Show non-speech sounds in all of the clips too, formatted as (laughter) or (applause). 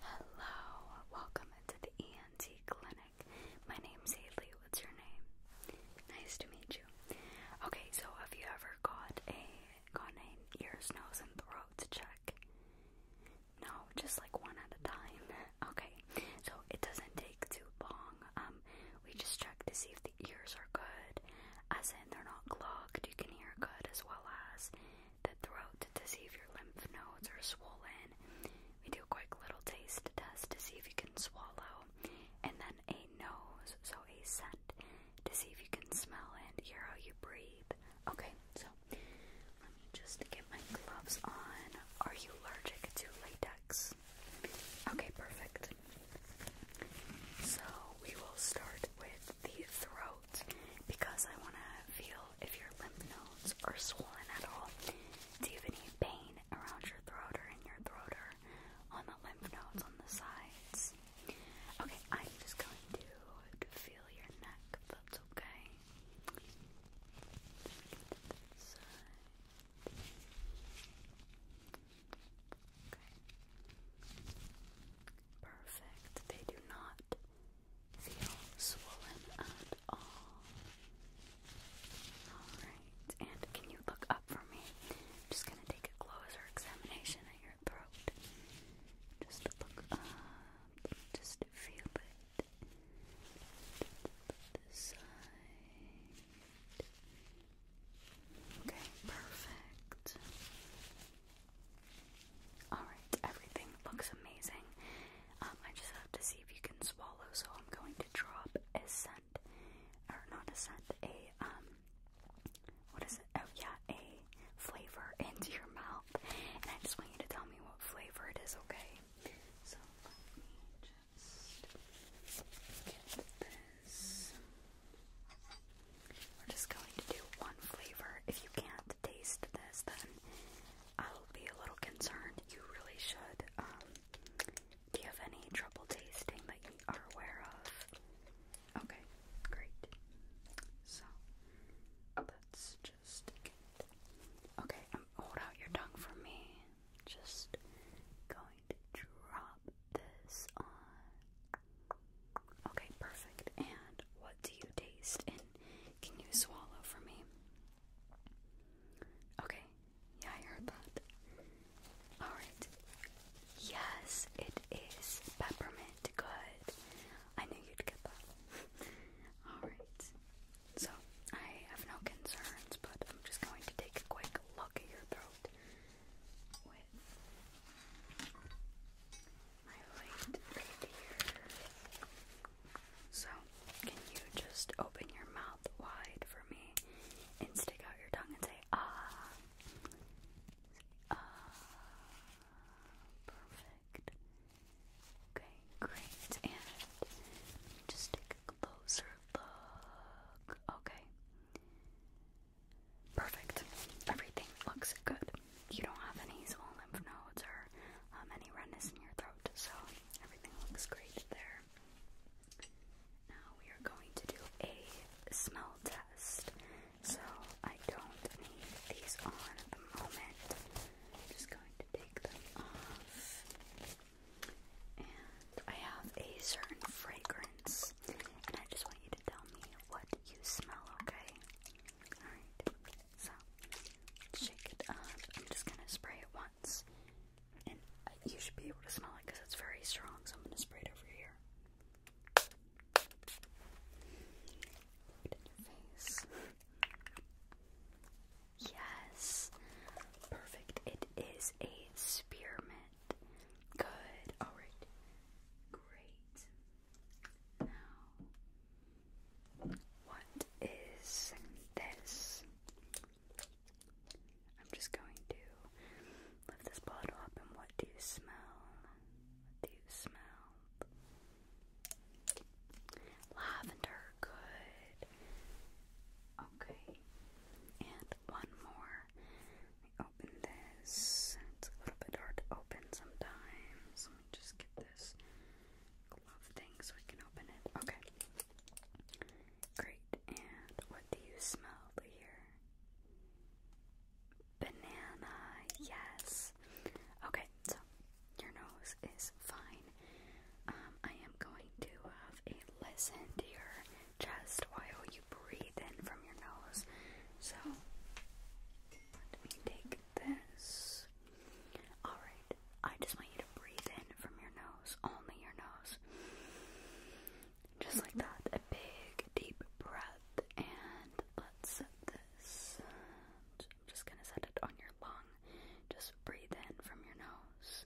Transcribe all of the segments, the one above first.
Hello, welcome to the ENT clinic. My name's Haley. What's your name? Nice to meet you. Okay, so have you ever got a got an ears, nose, and throat check? No, just like one at a time. (laughs) Okay, so it doesn't take too long. Um, we just check to see if the ears are good, as in they're not clogged, you can hear good, as well as the throat to see if your lymph nodes are swollen. We do a quick little taste test to see if you can swallow, and then a nose, so a scent, to see if you can smell and hear how you breathe. Okay, so let me just get my gloves on. Are you allergic to latex? Okay, perfect. So we will start with the throat because I want to feel if your lymph nodes are swollen at all. Do you have any pain around your throat or in your throat or on the lymph nodes on the sides? Okay, I'm just going to feel your neck that's okay. Perfect. They do not feel swollen at Alright, and can you look up for me? I'm just gonna take a closer examination at your throat. Just look up, just feel it. The side. Okay, perfect. Alright, everything looks amazing. Um, I just have to see if you can swallow, so I'm going to drop a scent, or not a scent, a, um, what is it? Oh yeah, a flavor (laughs) into your mouth, and I just want you to tell me what flavor it is, okay? We're just going to do one flavor. If you can't taste this, then I'll be a little concerned. You really should. Um, do you have any trouble tasting that you are aware of? Okay, great. So uh, let's just Okay, um, hold out your tongue for me. Just going drop this on. Okay, perfect. And what do you taste? And can you swallow for me? Okay, yeah, I heard that. Alright. Yes, it is peppermint. Good. I knew you'd get that. (laughs) Alright. So, I have no concerns, but I'm just going to take a quick look at your throat. So, can you just open your mouth wide for me and stick out your tongue and say, ah? Say, ah. Perfect. Okay, great. And just take a closer look. Okay. Perfect. Everything looks good. You don't have any small lymph nodes or um, any redness in your throat, so everything looks great there. Now we are going to do a smell test. So I don't need these on at the moment. I'm just going to take them off. And I have a certain fragrance, and I just want you to tell me what you smell, okay? Alright, so shake it up. I'm just gonna spray it once, and you should be able to smell it because it's very strong, so I'm gonna spray it over here. Put in your face. Yes, perfect. It is a spearmint. Good. All right. Great. Now, what is this? I'm just going to lift this bottle up, and what do you smell? do you smell? Lavender. Good. Okay. And one more. Let open this. It's a little bit hard to open sometimes. Let me just get this glove thing so we can open it. Okay. Great. And what do you smell here? Banana. Yes. Okay, so your nose is fine. Um, I am going to have a listen here chest while you breathe in from your nose. So, let me take this. Alright, I just want you to breathe in from your nose, only your nose. Just like that. A big, deep breath. And let's set this. I'm just gonna set it on your lung. Just breathe in from your nose.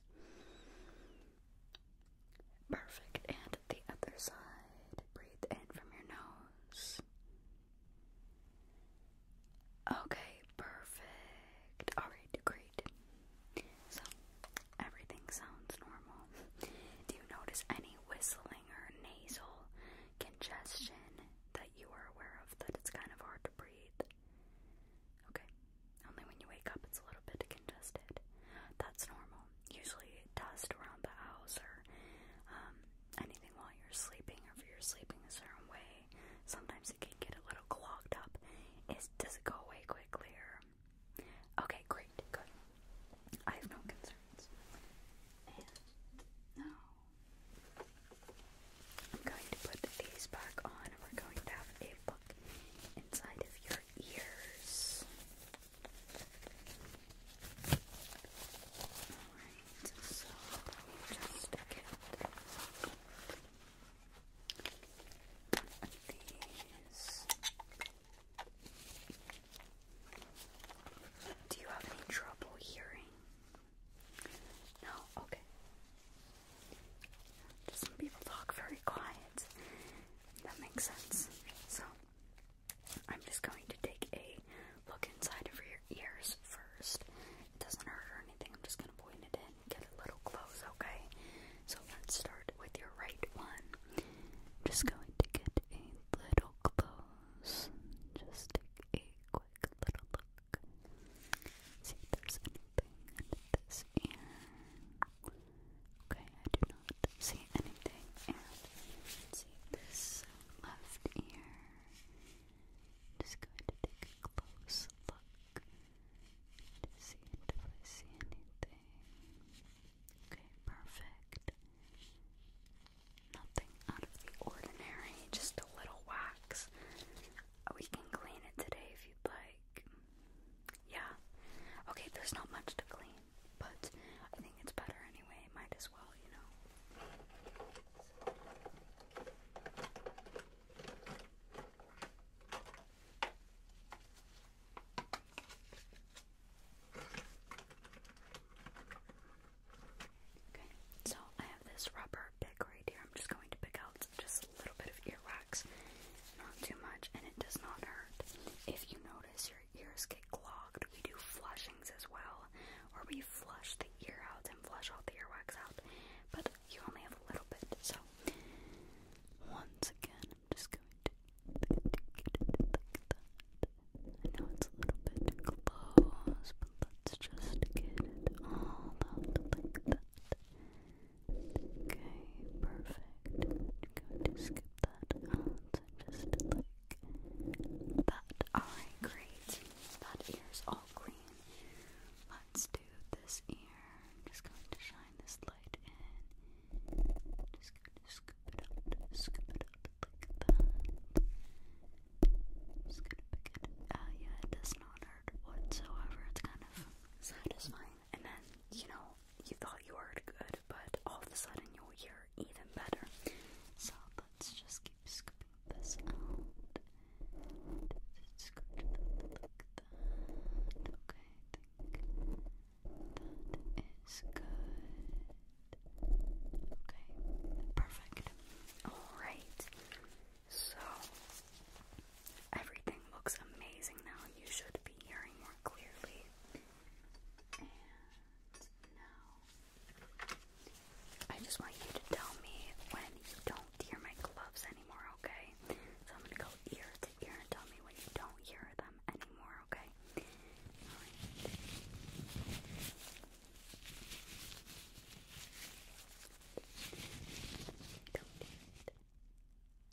Perfect. And the other side. Breathe in from your nose. Okay, perfect. Alright, great. So, everything sounds normal. Do you notice any whistling or nasal congestion that you are aware of that it's kind of hard to breathe? Okay, only when you wake up it's a little bit congested. That's normal normal. Usually dust around the house or um, anything while you're sleeping or if you're sleeping a certain way. Sometimes it can get a little clogged up. Is does it go away quickly or okay, great, good. I have no concerns. And now I'm going to put these back on and we're going to have a look inside of your ears. Alright, Do you have any trouble hearing? No? Okay. some people talk very quiet. That makes sense. So, I'm just going to take a look inside of your ears first. It doesn't hurt or anything. I'm just going to point it in, get a little close, okay? So, let's start with your right one. I'm just going to get a little close. Just take a quick little look. See if there's anything in this ear. Okay, I do not see anything. see this left ear. Just going to take a close look to see if I see anything. Okay, perfect. Nothing out of the ordinary, just a little wax. Uh, we can clean it today if you'd like. Yeah. Okay, there's not much to clean but I think it's better anyway. Might as well, you know. Okay, so I have this rubber pick right here. I'm just going to pick out just a little bit of earwax, not too much, and it does not hurt. If you notice ears get clogged, we do flushings as well, or we flush the ear out and flush all the earwax out, but you only have a little bit. So, once again, I'm just going to get it I know it's a little bit close, but let's just get all that. Okay, perfect. going to skip that just like that. Alright, great. That ear's all green. Let's do this ear. I'm just going to shine this light in. Just going to scoop it up, scoop it up like that. Just gonna pick it. Uh, yeah, it does not hurt whatsoever. It's kind of satisfying and then you know you thought you heard good, but all of a sudden you'll hear even better. So let's just keep scooping this out. that is good. Okay, perfect. Alright. So everything looks amazing now. You should be hearing more clearly. Uh, I just want you to tell me when you don't hear my gloves anymore, okay? So I'm gonna go ear to ear and tell me when you don't hear them anymore, okay? Don't hear it.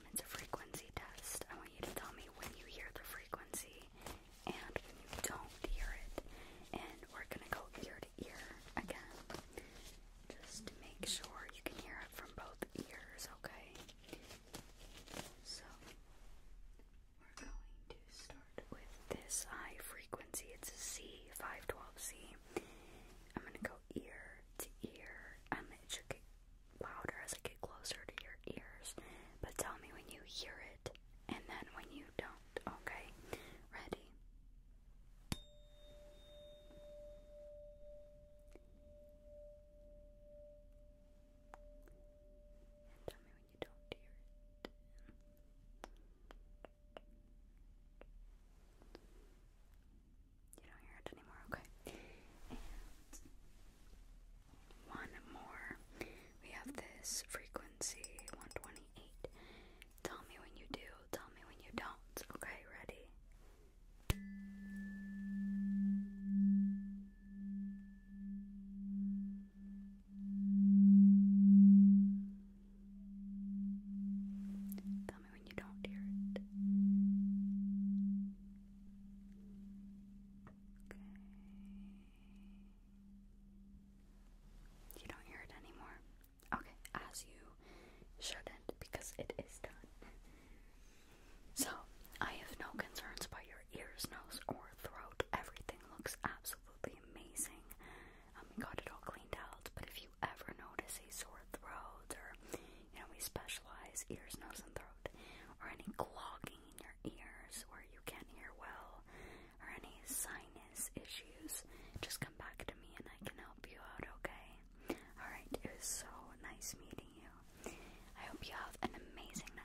Um, it's a frequency test. I want you to tell me when you hear the frequency and when you don't hear it. And we're gonna go ear to ear again. Just to make sure you can hear it from both ears, okay? So we're going to start with this high frequency. It's a C, 512C. I'm gonna go ear to ear. Um, it should get louder as I get closer to your ears, but tell me when you hear it and then when you don't, okay? Ready? tell me when you don't hear it. You don't hear it anymore, okay? one more. We have this frequency 128. Tell me when you do, tell me when you don't. Okay, ready? Tell me when you don't hear it. You don't hear it anymore. Okay, as you shouldn't, because it is done. So, I have no concerns about your ears, nose, or throat. Everything looks absolutely amazing. Um, we got it all cleaned out, but if you ever notice a sore throat, or, you know, we specialize ears, nose, and throat, or any clogging, your ears where you can't hear well or any sinus issues, just come back to me and I can help you out, okay? Alright, it was so nice meeting you. I hope you have an amazing night.